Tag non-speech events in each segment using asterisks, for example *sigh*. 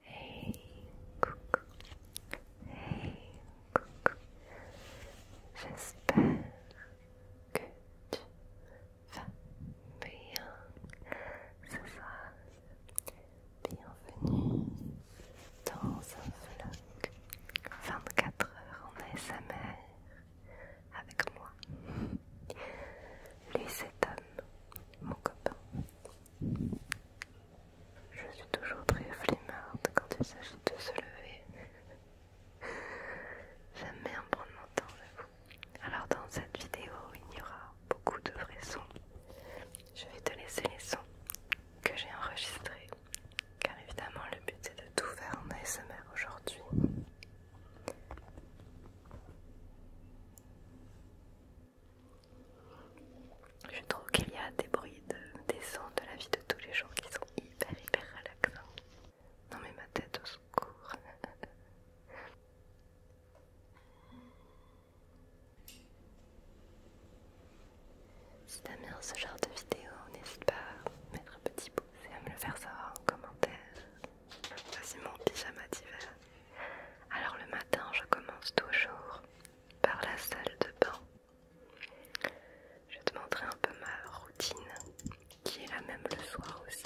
Hey, coucou. Hey, coucou. J'espère que tu vas bien ce soir. Bienvenue dans un vlog 24 heures en ASMR avec moi. Lui, c'est Tom, mon copain. Je suis toujours très flemmarde quand il s'agit de se lever. J'aime bien prendre mon temps, vous. Alors, dans cette vidéo, il y aura beaucoup de vrais sons. Je vais te laisser les sons que j'ai enregistrés, car évidemment, le but c'est de tout faire en ASMR aujourd'hui. Je trouve qu'il y a des bruits de, des sons de la vie de tous les jours qui sont hyper hyper relaxants. Non mais ma tête au secours. *laughs* Si t'aimes bien ce genre de vidéo, n'hésite pas à mettre un petit pouce et à me le faire savoir en commentaire. Voici mon pyjama d'hiver. Alors le matin, je commence toujours par la salle de bain. Je vais te montrer un peu ma routine qui est la même le soir aussi.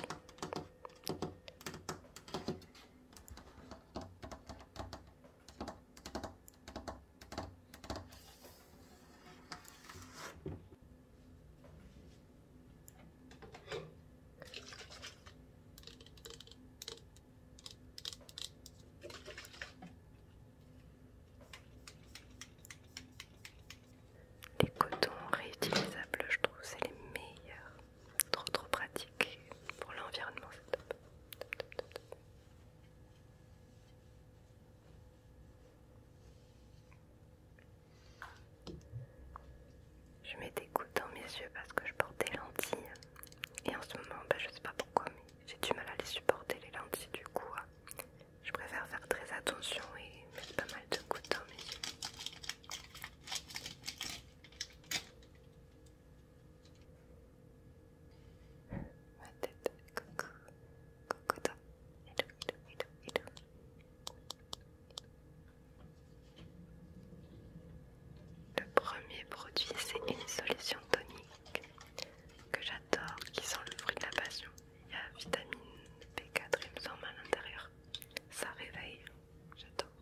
Les cotons réutilisables, je trouve, c'est les meilleurs. Trop trop pratique pour l'environnement, c'est top. Je mets des gouttes dans mes yeux parce que je porte des lentilles. Et en ce moment, bah, je sais pas pourquoi, mais j'ai du mal à les supporter les lentilles du coup. Hein. Je préfère faire très attention et mettre pas mal de gouttes dans mes yeux. Ma tête, coucou, coucou le premier produit, c'est une solution tonique que j'adore, qui sent le fruit de la passion. Il y a vitamine B4, il me semble, à l'intérieur. Ça réveille, j'adore.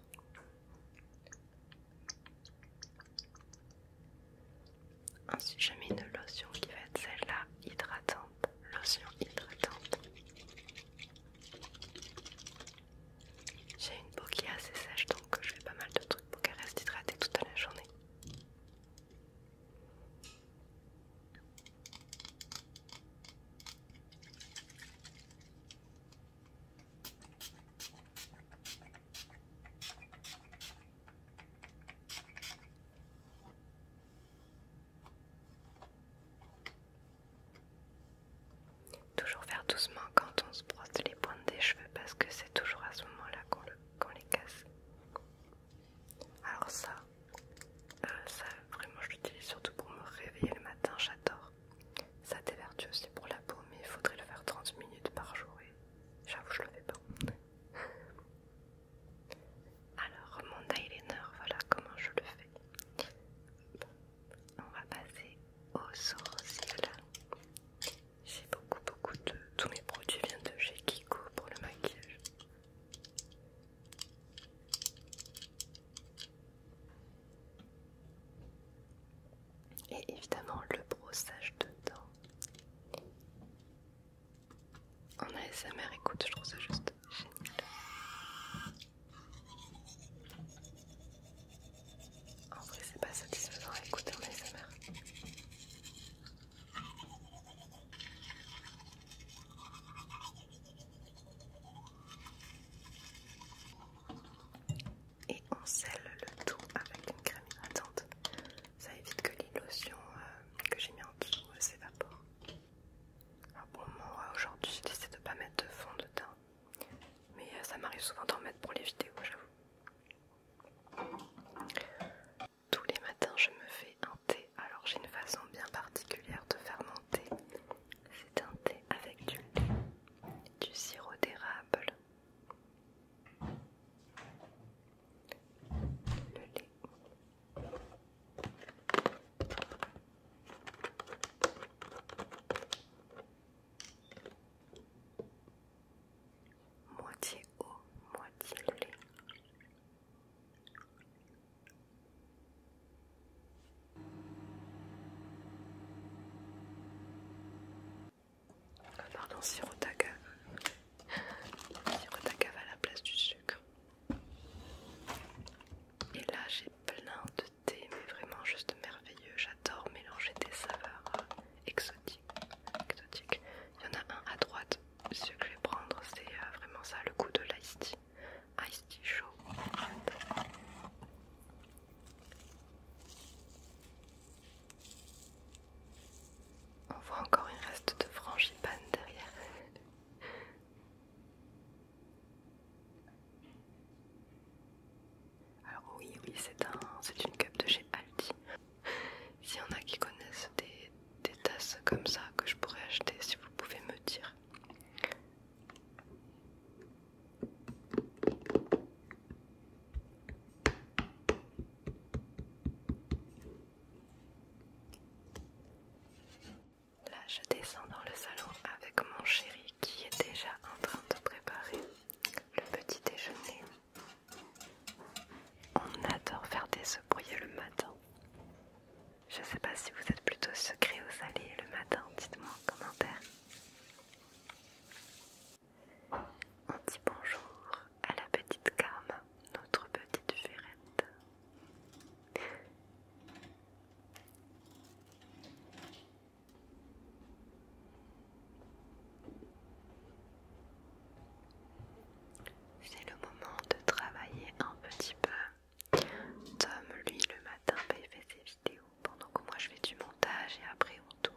Ensuite, je mets une lotion qui va être celle-là, hydratante. Lotion hydratante. J'ai une peau qui est assez sèche donc je fais pas mal de trucs pour qu'elle reste hydratée toute la journée. Toujours faire doucement quand on se brosse les pointes des cheveux parce que c'est toujours à ce moment-là qu'on les casse. Alors ça, euh, ça vraiment je l'utilise surtout pour me réveiller le matin, j'adore. Ça dévertue aussi pour la peau mais il faudrait le faire 30 minutes par jour et j'avoue je le fais pas. Alors mon eyeliner, voilà comment je le fais on va passer au sourcils. J'ai beaucoup, beaucoup de. Tous mes produits viennent de chez Kiko pour le maquillage. Et évidemment, le brossage de dents. a SMR écoute, je trouve ça juste génial. En vrai, c'est pas satisfaisant à écouter en ASMR. Et on scelle le tout avec une crème hydratante. Ça évite que les euh, que j'ai mis en dessous s'évapore. Euh, s'évaporent. Alors aujourd'hui, j'ai de ne pas mettre de fond dedans. Mais euh, ça m'arrive souvent d'en mettre pour les vidéos, j'avoue. Tous les matins, je me fais un thé. Alors, j'ai une façon bien particulière de faire mon thé. C'est un thé avec du lait, du sirop d'érable, le lait moitié eau, moitié lait. Ah, faire pardon, sirop d'agave. *laughs* Sirop d'agave à la place du sucre. Et là j'ai plein de mais vraiment juste merveilleux. J'adore mélanger des saveurs euh, exotiques. Il y en a un à droite, ce que je vais prendre, c'est euh, vraiment ça, le goût de l'ice tea. Ice tea chaud. On voit encore une reste de frangipane derrière. Alors oui, oui, c'est un, une cup de chez Aldi. *laughs* S'il y en a qui connaissent des tasses comme ça que je pourrais acheter, si vous pouvez me dire. Là, je descends dans le salon avec mon chéri qui est déjà en train de préparer le petit déjeuner. On adore faire des œufs brouillés le matin. Je sais pas si vous êtes plutôt secret aux allées le matin, dites-moi en commentaire. On dit bonjour à la petite Karma, notre petite furette. C'est le moment de travailler un petit peu. Tom, lui, le matin, bah, il fait ses vidéos pendant que moi je fais du montage et après on tourne.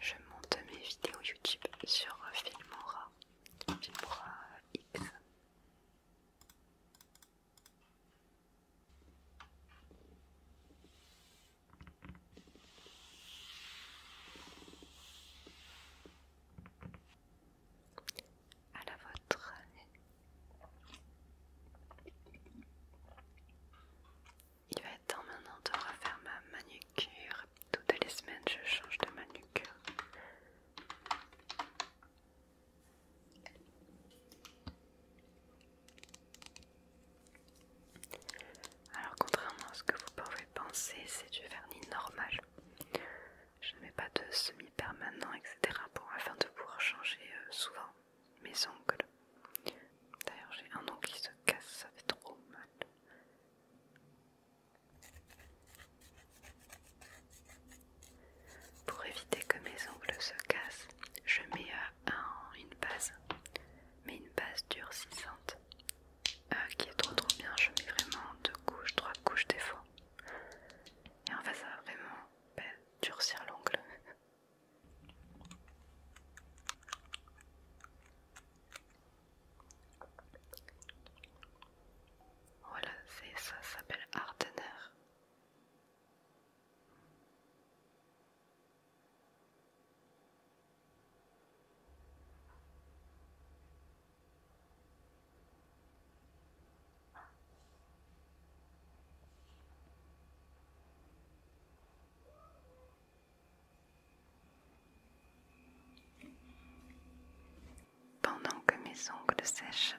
Je monte mes vidéos YouTube sur Filmora, Filmora X. À la vôtre, il va être temps maintenant de refaire ma manucure. Toutes les semaines, je change de manucure. Alors, contrairement à ce que vous pouvez penser, c'est du vernis normal. Je ne mets pas de semi-permanent, etc. pour afin de pouvoir changer euh, souvent mes ongles. D'ailleurs, j'ai un ongle qui se casse, ça fait trop mal. Pour éviter que mes ongles se cassent, je mets euh, une base, mais une base durcissante euh, qui est trop trop bien. Je mets vraiment deux couches, trois couches des fois. Et en fait, ça va vraiment bah, durcir l'ongle. *laughs* Voilà, c'est ça, ça s'appelle Ardener. Pendant que mes ongles sèchent,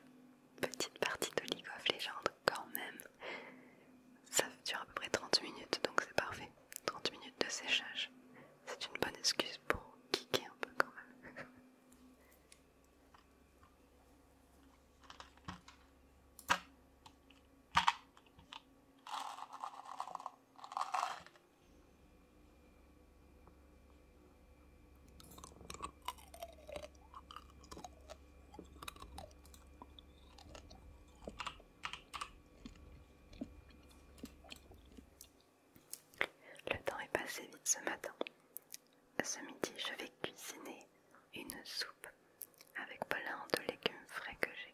petite partie de League of quand même. Ça dure à peu près 30 minutes, donc c'est parfait. 30 minutes de séchage. C'est une bonne excuse pour kicker un peu quand même. *laughs* Le temps est passé vite ce matin. Ce midi, je vais cuisiner une soupe avec plein de légumes frais que j'ai.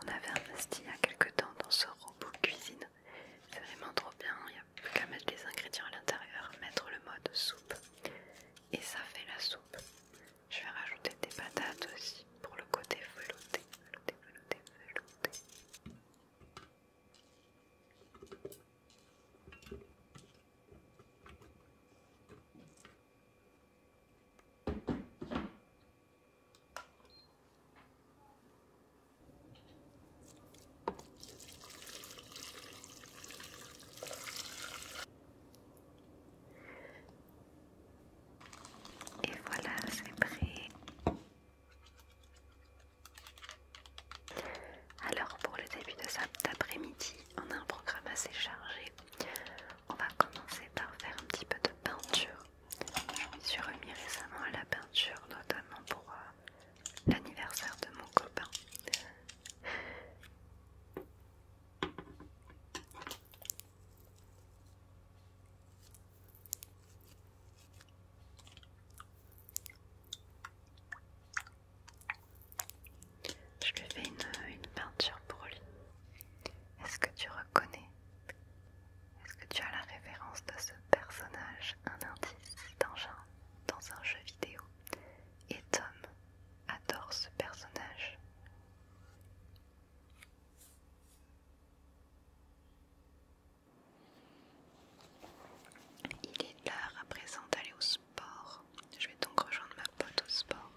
On avait investi il y a quelques temps dans ce robot cuisine. C'est vraiment trop bien, il n'y a plus qu'à mettre les ingrédients à l'intérieur, mettre le mode soupe et ça fait la soupe. Je vais rajouter des patates aussi pour le côté velouté, velouté, velouté, velouté. Et voilà, c'est prêt. Alors pour le début de cet après-midi, on a un programme assez chargé. On va commencer par faire un petit peu de peinture. Je me suis remis récemment à la peinture, notamment pour euh, l'anniversaire de mon copain. Je lui fais une, peinture pour lui. Est-ce que tu reconnais Est-ce que tu as la référence de ce personnage Un indice d'engin dans un jeu vidéo. Et Tom adore ce personnage. Il est là à présent d'aller au je vais donc rejoindre ma pote au sport.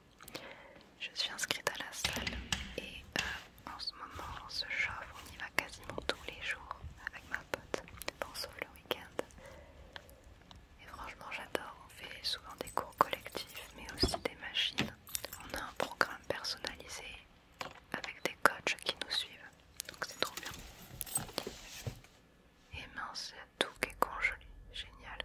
Je suis inscrite à la salle et euh, en ce moment on se chauffe, on y va quasiment tous les jours avec ma pote, sauf le week-end. Et franchement j'adore, on fait souvent des cours collectifs mais aussi des machines. On a un programme personnalisé avec des coachs qui nous suivent, donc c'est trop bien. Et mince, à tout qui est congelé. Génial.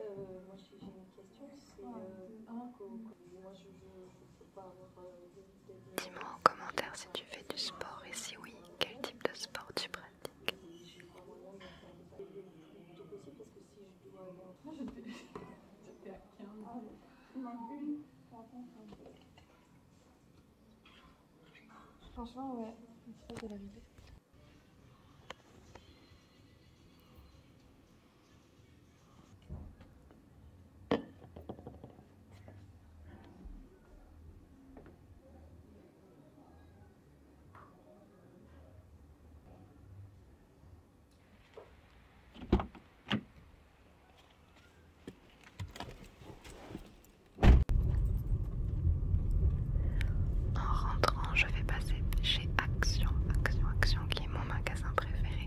Euh, moi j'ai une question, c'est... un, euh, ah, Moi je veux pas avoir... Euh, Dis-moi en commentaire si tu fais du sport et si oui, quel type de sport tu pratiques. Franchement, ouais, de en rentrant, je vais passer chez Action, Action, Action qui est mon magasin préféré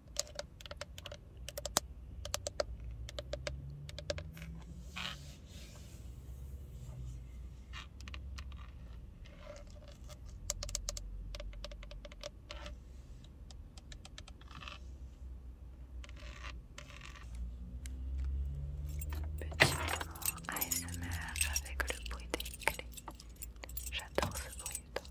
Petit moment ASMR avec le bruit des clés. J'adore ce bruit.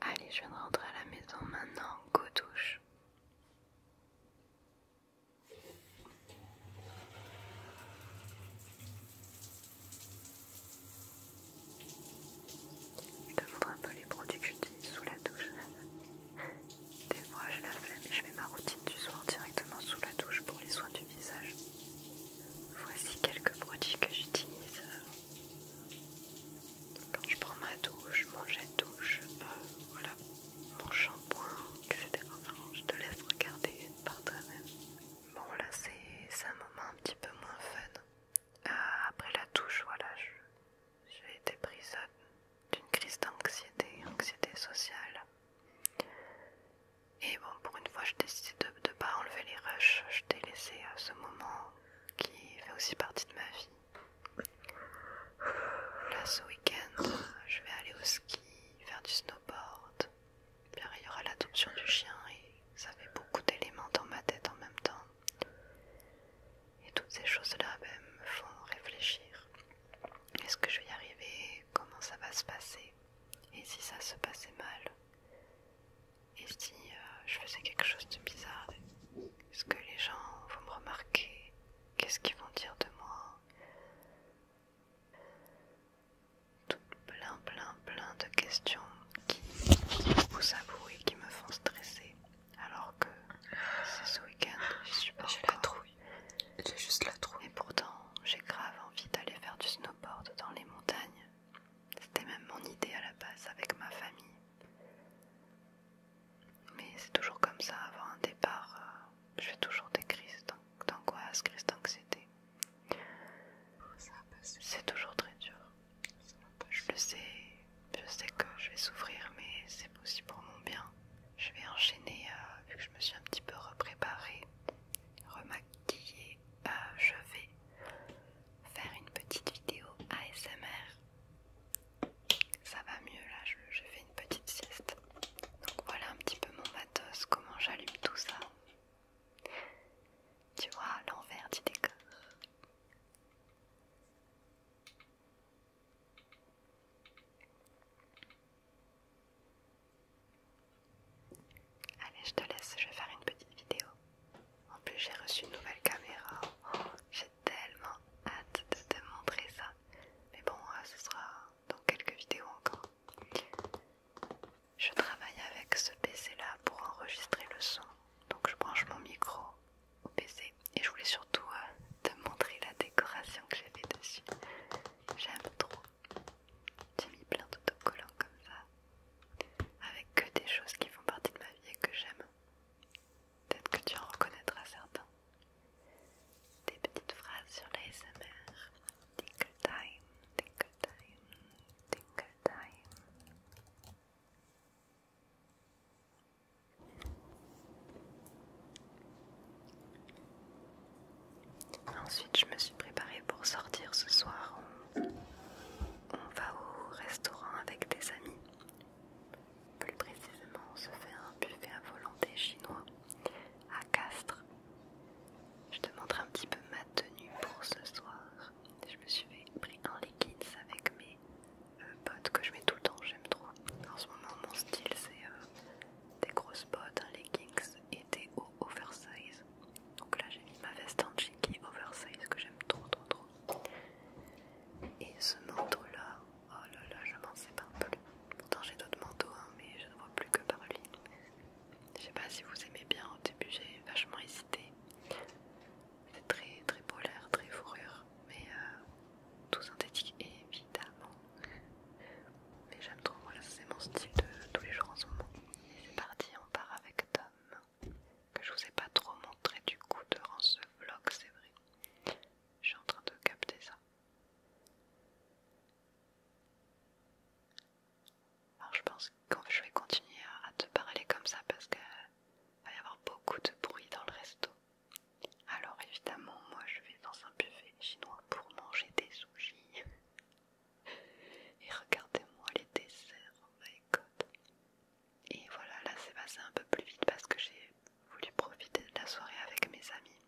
Allez, je viens de rentrer à la maison maintenant, go douche. Je te montre un peu les produits que j'utilise sous la douche. Des fois je la fais, mais je fais ma routine du soir directement sous la douche pour les soins du visage. Voici quelques produits que j'utilise quand je prends ma douche, mon jet douche, euh, voilà, mon shampoing, etc. je te laisse regarder par toi-même. Bon, là, c'est un moment un petit peu moins fun. Euh, après la douche, voilà, j'ai été prise d'une crise d'anxiété, anxiété sociale. Et bon, pour une fois, je décidé de ne pas enlever les rushs. Je t'ai laissé à euh, ce moment qui fait aussi partie de ma vie. Là ce week-end, je vais aller au ski, faire du snowboard. il y aura l'adoption du chien et ça fait beaucoup d'éléments dans ma tête en même temps. Et toutes ces choses-là ben, me font réfléchir. Est-ce que je vais y arriver Comment ça va se passer Et si ça se passait mal Et si euh, je faisais quelque chose de bizarre est ce que les gens vont me remarquer, qu'est-ce qu'ils vont dire de moi. Tout plein, plein, plein de questions qui me poussent à qui me font stresser. Alors que ce week-end, je suis pas J'ai la trouille. J'ai juste la trouille. Et pourtant, j'ai grave envie d'aller faire du snowboard dans les montagnes. C'était même mon idée à la base avec ma famille. Mais c'est toujours comme ça, avant un départ, euh, je fais toujours des crises d'angoisse, crises d'anxiété. C'est toujours très dur. Je sais, je sais que je vais souffrir, mais c'est possible pour mon bien. Je vais enchaîner, euh, vu que je me suis un petit peu repréparée, remaquillée, euh, je vais faire une petite vidéo ASMR ça va mieux là, je, fais une petite sieste. Donc voilà un petit peu mon matos, comment j'allume tout ça. Tu vois, l'envers du décor. Allez, je te laisse, je vais faire une petite vidéo. En plus, j'ai reçu une nouvelle caméra. Oh, tellement hâte de te montrer ça. Mais bon, euh, ce sera dans quelques vidéos encore. Je travaille avec ce PC là pour enregistrer le son. Donc je branche mon micro au PC et je voulais surtout euh, te montrer la décoration que j'ai fait dessus. J'aime trop. J'ai mis plein d'autocollants comme ça, avec que des choses qui font partie de ma vie et que j'aime. Peut-être que tu en reconnaîtras certains. Des petites phrases sur l'ASMR. Tinkle time, time, time. Ensuite, je me suis préparée pour sortir ce soir. on va au restaurant avec des amis. Plus précisément, on se fait un buffet à volonté chinois à Castres. Je te montre un petit peu ma tenue pour ce soir. Je me suis pris un leggings avec mes potes euh, bottes que je mets tout le temps, j'aime trop. En ce moment, mon style c'est euh, des grosses bottes, un leggings et des hauts oversize. Donc là, j'ai mis ma veste en cheeky oversize que j'aime trop, trop, trop. Et ce manteau-là, oh là là, je m'en un plus. Pourtant j'ai d'autres manteaux, hein, mais je ne vois plus que par lui. Je sais pas si vous aimez bien, au début j'ai vachement hésité. C'est très très polaire, très fourrure, mais euh, tout synthétique évidemment. Mais j'aime trop, voilà, c'est mon style de tous les jours en ce moment. Et c'est parti, on part avec Tom, que je vous ai pas trop montré du coup durant ce vlog, c'est vrai. Je suis en train de capter ça. Alors je pense que je vais continuer à te parler comme ça parce qu'il va y avoir beaucoup de bruit dans le resto. Alors évidemment moi je vais dans un buffet chinois pour manger des sushis. *laughs* Et regardez-moi les desserts, oh my et voilà, là c'est passé un peu plus vite parce que j'ai voulu profiter de la soirée avec mes amis.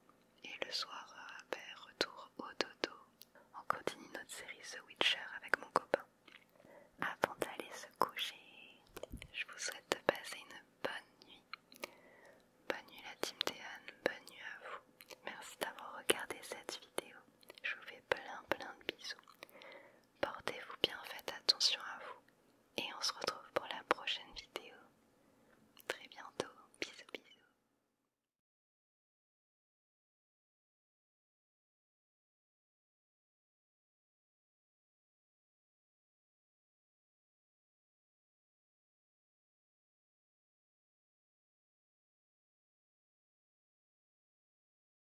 Et le soir, euh, ben, retour au dodo. On continue notre série The Witcher avec mon copain. Avant d'aller se coucher, je vous souhaite de passer une bonne nuit. Bonne nuit la team Théane, bonne nuit à vous. Merci d'avoir regardé cette vidéo. Je vous fais plein plein de bisous. Portez-vous bien, faites attention à vous et on se retrouve pour la prochaine vidéo très bientôt. Bisous bisous.